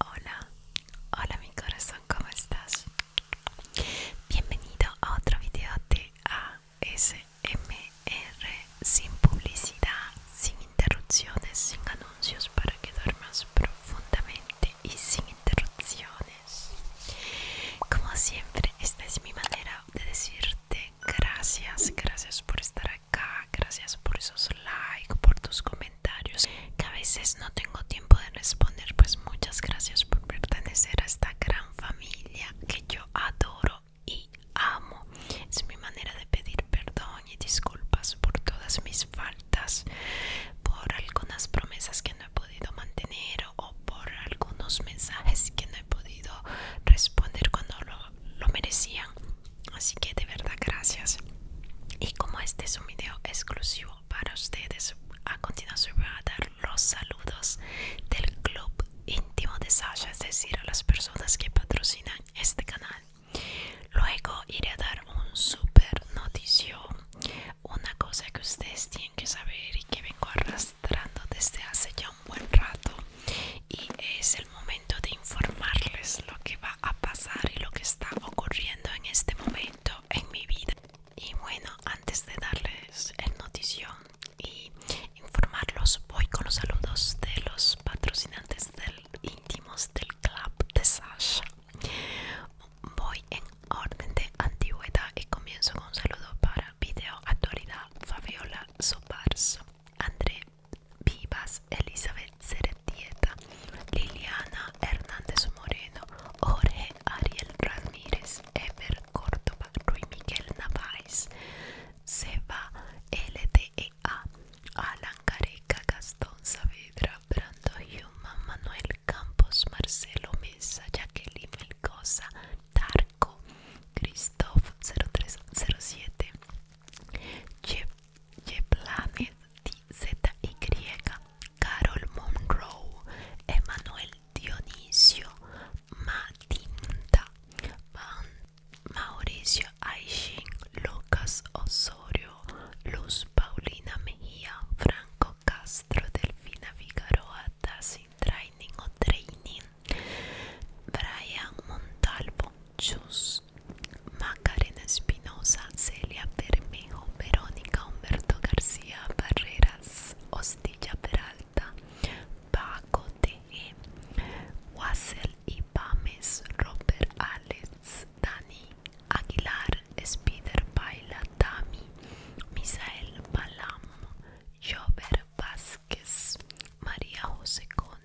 Hola, hola mi corazón, ¿cómo estás? Bienvenido a otro video de ASMR sin publicidad, sin interrupciones, sin anuncios para que duermas profundamente y sin interrupciones. Como siempre, esta es mi manera de decirte gracias, gracias por estar gracias por esos likes, por tus comentarios que a veces no tengo tiempo de responder, pues muchas gracias por pertenecer a esta gran familia que yo adoro y amo. Es mi manera de pedir perdón y disculpas por todas mis faltas, por algunas promesas que no he podido mantener o por algunos mensajes que no he podido responder cuando lo merecían. Así que de verdad gracias. Y como este es un video exclusivo para ustedes, a continuación voy a dar los saludos del club íntimo de Sasha, es decir, a las personas que patrocinan este canal. Luego iré a dar un super noticio, una cosa que ustedes tienen que saber y que vengo arrastrando desde hace ya un buen rato y es momento de informarles lo que va a pasar y lo que está ocurriendo en este momento en mi vida. Y bueno, antes de darles el notición y informarlos, voy con los saludos de los patrocinantes del íntimos del club de Sasha. Voy en orden de antigüedad y comienzo con un saludo para Video Actualidad Fabiola Sobarzo, André Vivas, Elizabeth Ceretieta, Liliana Hernández Moreno, Jorge Ariel Ramírez, Ever Córdoba, Ruy Miguel Naváez, Seba LTEA, Alan Careca, Gastón Saavedra, Brando Human, Manuel Campos, Marcelo Mesa, Jacqueline Melcosa, Tarco, Christoph 0307, Jeff Yeplanet ZY Carol Monroe, Emanuel Dionisio, Matinta, Mauricio Aishin, Lucas Osorio, Luz Paulina Mejía, Franco Castro, Delfina Figueroa, Sin Training o Training, Brian Montalvo, Chus Macarena Espinosa, Celia Bermejo, Verónica Humberto García Barreras, Hostilla Peralta, Paco T.E., Wassel y Pames, Robert Alex, Dani Aguilar, Spider Baila, Tami, Misael Palam, Jover Vázquez, María José Conde,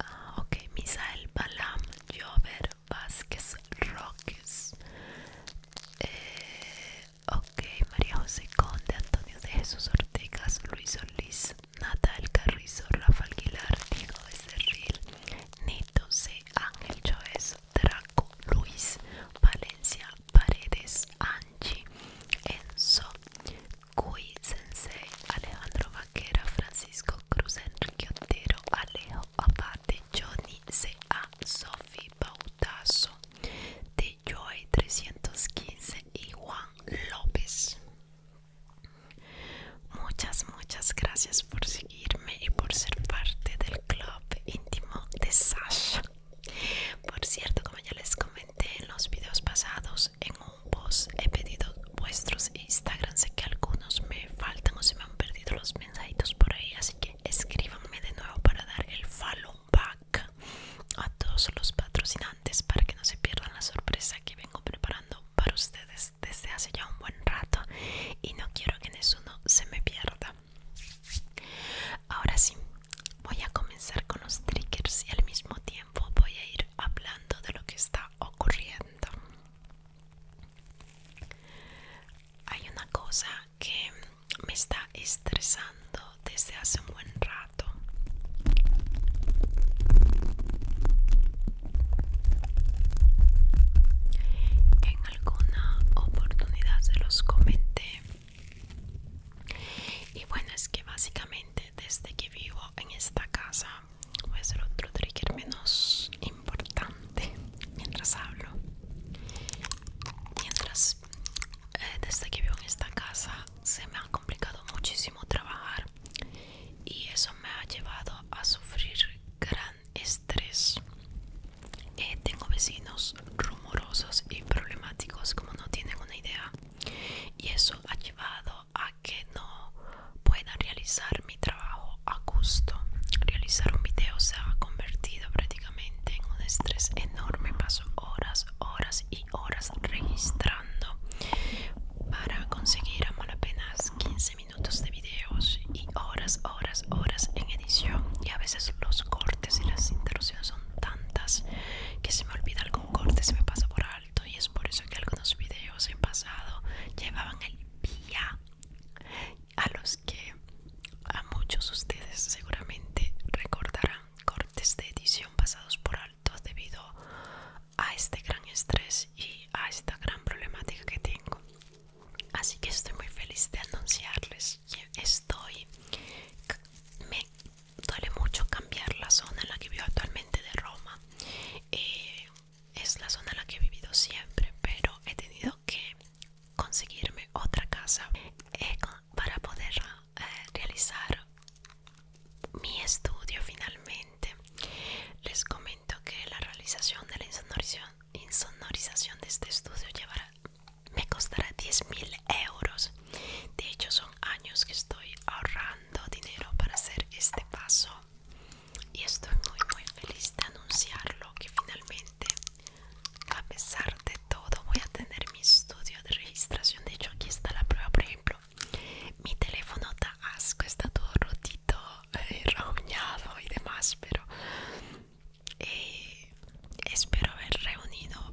Ah, ok, Misael Balam, Jover Vázquez Roques. Eh, ok, María José Conde, Antonio de Jesús Ortegas, Luis Solís, Natal Carrizo, Rafael Aguilar, Diego Serril, Neto C. Ángel Choez, Draco Luis, Valencia Paredes, Angie, Enzo, Kui Sensei, Alejandro Vaquera, Francisco Cruz, Enrique Otero, Alejo Abate, Johnny C.A., Sofi Bautaso, de Joy 315 y Juan López. Muchas, muchas gracias por seguirme y por ser parte del club íntimo de Sasha. Por cierto, como ya les comenté en los videos pasados, en un post he pedido vuestros Instagram. Sé que algunos me faltan o se me han perdido los mensajitos por ahí, así que escríbanme de nuevo para dar el follow back a todos los patrocinantes para que no se pierdan la sorpresa que vengo preparando para ustedes desde hace ya un buen rato y no quiero que ninguno se me pierda. Ahora sí, Voy a comenzar con los triggers y al mismo tiempo voy a ir hablando de lo que está ocurriendo. Hay una cosa que me está estresando desde hace un buen rato. En alguna oportunidad se los comenté. Y bueno, es que básicamente desde que vivo en esta casa voy a hacer otro trigger menos importante mientras hablo mientras eh, desde que vivo en esta casa se me ha complicado muchísimo trabajar y eso me ha llevado a sufrir gran estrés eh, tengo vecinos rumorosos y problemáticos como no tienen una idea y eso ha llevado a que no pueda realizar mi trabajo a gusto. Realizar un video se ha convertido prácticamente en un estrés enorme, paso horas, horas y horas registrando para conseguir a mal apenas 15 minutos de videos y horas, horas, horas en edición y a veces los cortes y las interrupciones son tantas que se me olvida el cortes corte se me pasa por alto y es por eso que algunos vídeos en pasado llevaban el día a los que a muchos ustedes seguramente recordarán cortes de edición pasados por alto debido a este gran estrés y a esta gran problemática que tengo así que estoy muy feliz de anunciarles que estoy me duele mucho cambiar la zona en la que vivo actualmente de Roma. Eh, es la zona en la que he vivido siempre, pero he tenido que conseguirme otra casa eh, para poder eh, realizar mi estudio finalmente. Les comento que la realización de la insonorización, de este estudio llevará, me costará 10.000 euros de hecho, son años que estoy ahorrando dinero para hacer este paso y estoy muy, muy feliz de anunciarlo que finalmente, a pesar de todo, voy a tener mi estudio de registración. De hecho, aquí está la prueba, por ejemplo. Mi teléfono está asco, está todo rotito, eh, rañado y demás, pero eh, espero haber reunido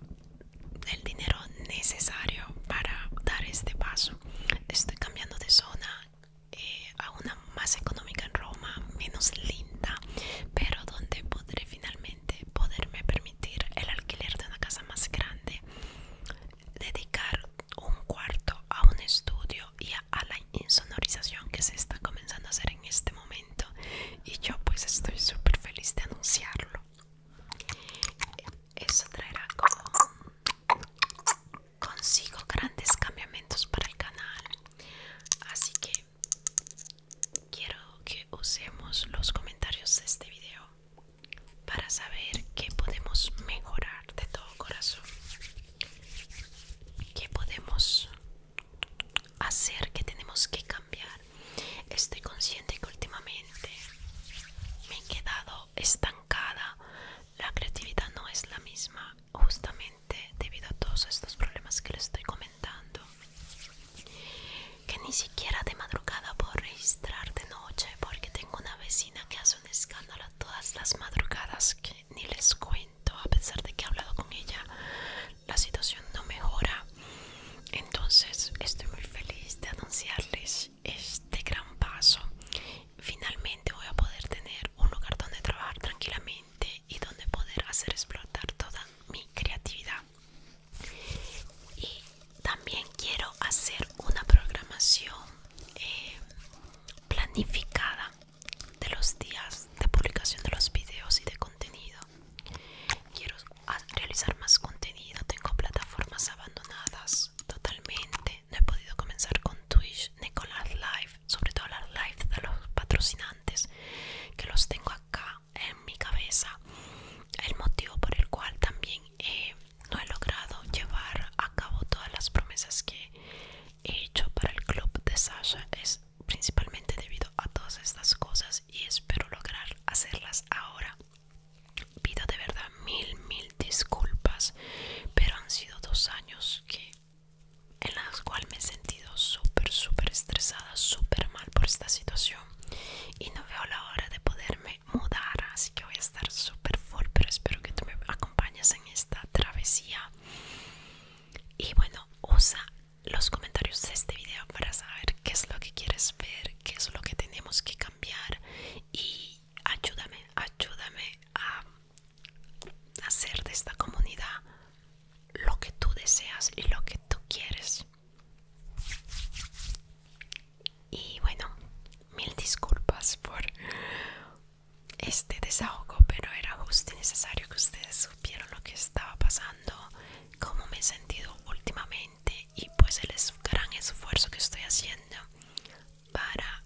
el dinero necesario para dar este paso. Estoy cambiando de zona eh, a una más económica en Roma, menos linda, pero donde podré finalmente poderme permitir el alquiler de una casa más grande, dedicar un cuarto a un estudio y a la insonorización que se está comenzando a hacer en este momento. Y yo pues estoy súper feliz de anunciarlo. Eso traerá como consigo grandes cambios para el canal. Así que quiero que usemos los comentarios de este video para saber qué podemos mejorar de todo corazón. ¿Qué podemos hacer? que tenemos que cambiar? Estoy consciente que últimamente me he quedado estancada. La creatividad no es la misma justamente debido a todos estos problemas que les estoy comentando. Que ni siquiera de madrugada puedo registrar de noche porque tengo una vecina que hace un escándalo todas las madrugadas que ni les cuento a pesar de que he hablado con ella. La situación no mejora. Entonces estoy muy feliz de anunciarles este gran paso. Finalmente voy a poder tener un lugar donde trabajar tranquilamente y donde poder hacer explotar toda mi creatividad. Y también quiero hacer una programación eh, planificada de los días de publicación de los videos y de contenido. Quiero a realizar más contenido. Tengo plataformas abandonadas totalmente. No he podido comenzar con Twitch ni con las live, sobre todo las live de los patrocinantes que los tengo acá en mi cabeza. El motivo por el cual también eh, no he logrado llevar a cabo todas las promesas que he hecho para el club de Sasha es principalmente debido a todas estas cosas y espero lograr hacerlas ahora Pido de verdad mil, mil disculpas, pero han sido dos años que en las cuales me he sentido súper, súper estresada, súper mal por esta situación y no veo la hora de poderme mudar, así que voy a estar súper full, pero espero que tú me acompañes en esta travesía. Y bueno, usa los comentarios de este video para saber qué es lo que quieres ver qué es lo que tenemos que cambiar y ayúdame, ayúdame a hacer de esta comunidad lo que tú deseas y lo que tú quieres. Y bueno, mil disculpas por este desahogo, pero era justo y necesario que ustedes supieran lo que estaba pasando, cómo me he sentido últimamente y pues el gran esfuerzo que estoy haciendo para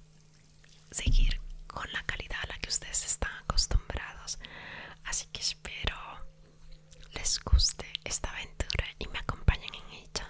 seguir con la calidad a la que ustedes están acostumbrados así que espero les guste esta aventura y me acompañen en ella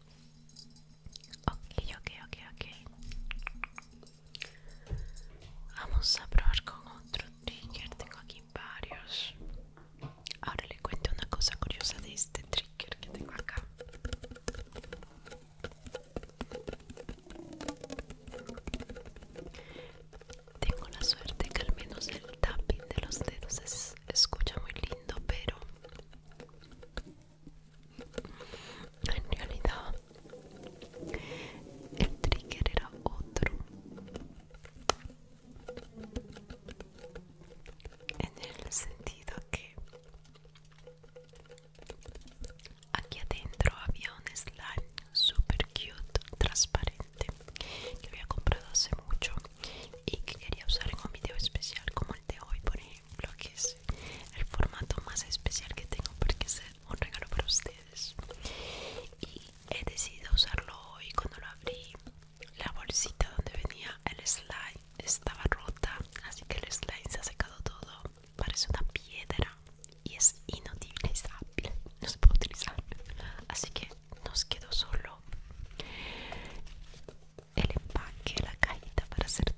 Ok, ok, ok, ok. Vamos a probar con otro trigger. Tengo aquí varios. Ahora le cuento una cosa curiosa de este trigger que tengo acá. Tengo la suerte que al menos el tapping de los dedos es, escucha muy lindo, pero en realidad el trigger era otro en el sentido que aquí adentro había un slime super cute transparente que había comprado hace mucho y que quería usar en un video especial como el de hoy por ejemplo lo que es el formato más especial que tengo porque es un regalo para ustedes y he decidido usarlo hoy cuando lo abrí la bolsita donde venía el slime estaba rota así que el slime se ha secado todo parece una piedra y es inutilizable no se puede utilizar así que nos quedó solo el empaque la cajita para hacer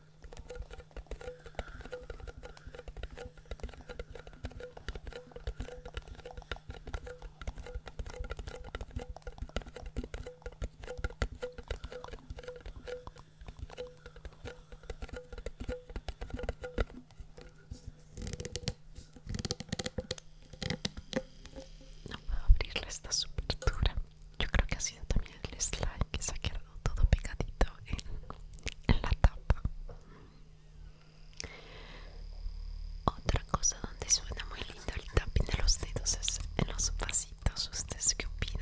No puedo abrirle esta súper yo creo que ha sido también el slime que se ha quedado todo pegadito en, la tapa otra cosa donde suena muy lindo el tapping de los dedos es en los vasitos ustedes qué opinan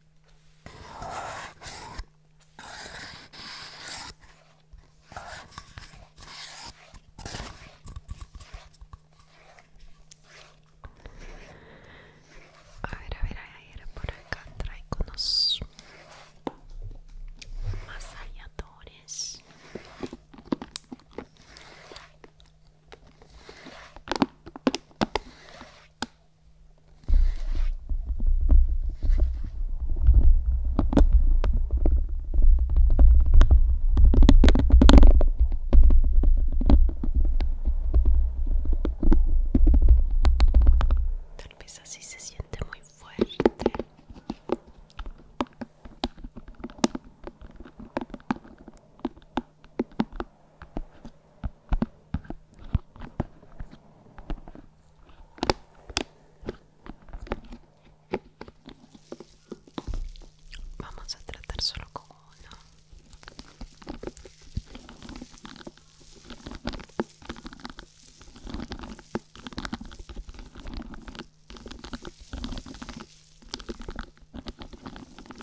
A ver, a ver, a ver, por acá traigo unos masalladores Tal vez así se siente muy fuerte. Vamos a tratar solo con uno.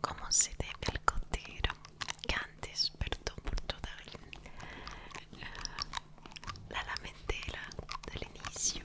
como se debe el cotero que antes perdón por toda la lamentela del inicio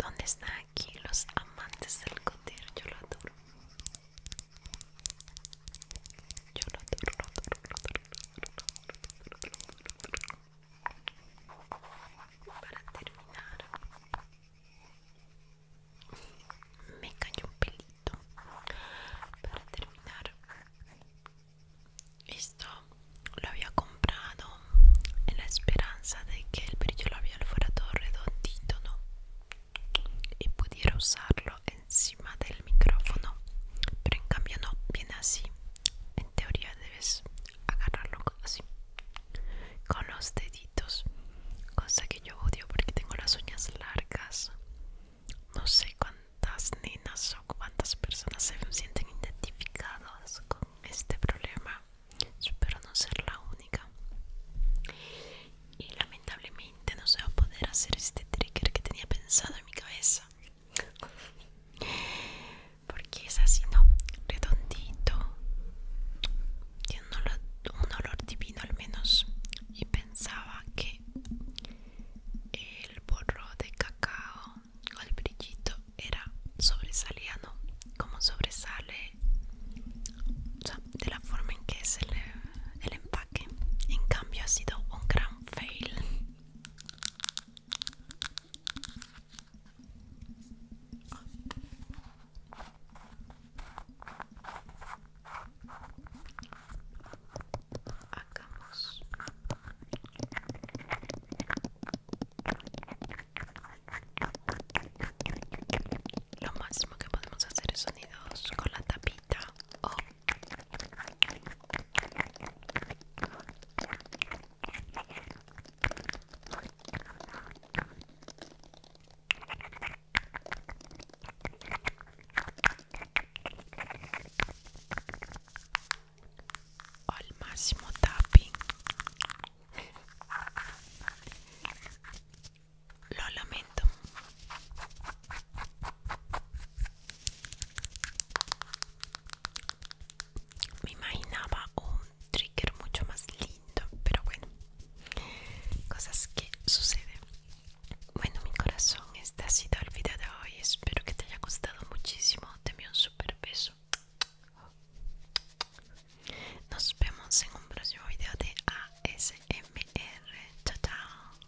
¿Dónde están aquí los amantes del Yo lo adoro. Yo lo adoro para terminar me cayó un pelito para terminar esto lo había comprado en la esperanza de que el brillo lo fuera todo redondito no y pudiera usarlo encima del micrófono pero en cambio no viene así en teoría debes agarrarlo así con los deditos cosa que yo odio porque tengo las uñas largas no sé cuántas nenas o cuántas personas se sienten identificadas con este problema espero no ser la única y lamentablemente no se va a poder hacer este trigger que tenía pensado en mi cabeza porque es así, ¿no? Redondito, tiene un olor, divino al menos. Y pensaba que el borro de cacao o el brillito era sobresaliano, como sobresale de la forma en que es el empaque. En cambio, ha sido un gran fail. Lo máximo que podemos hacer es sonidos con la tapita o Ho il massimo tappi. Lo lamento. me imaginaba un trigger mucho más lindo pero bueno cosas que suceden bueno mi corazón este ha sido el video de hoy espero que te haya gustado muchísimo te envío un super beso nos vemos en un próximo video de ASMR chao chao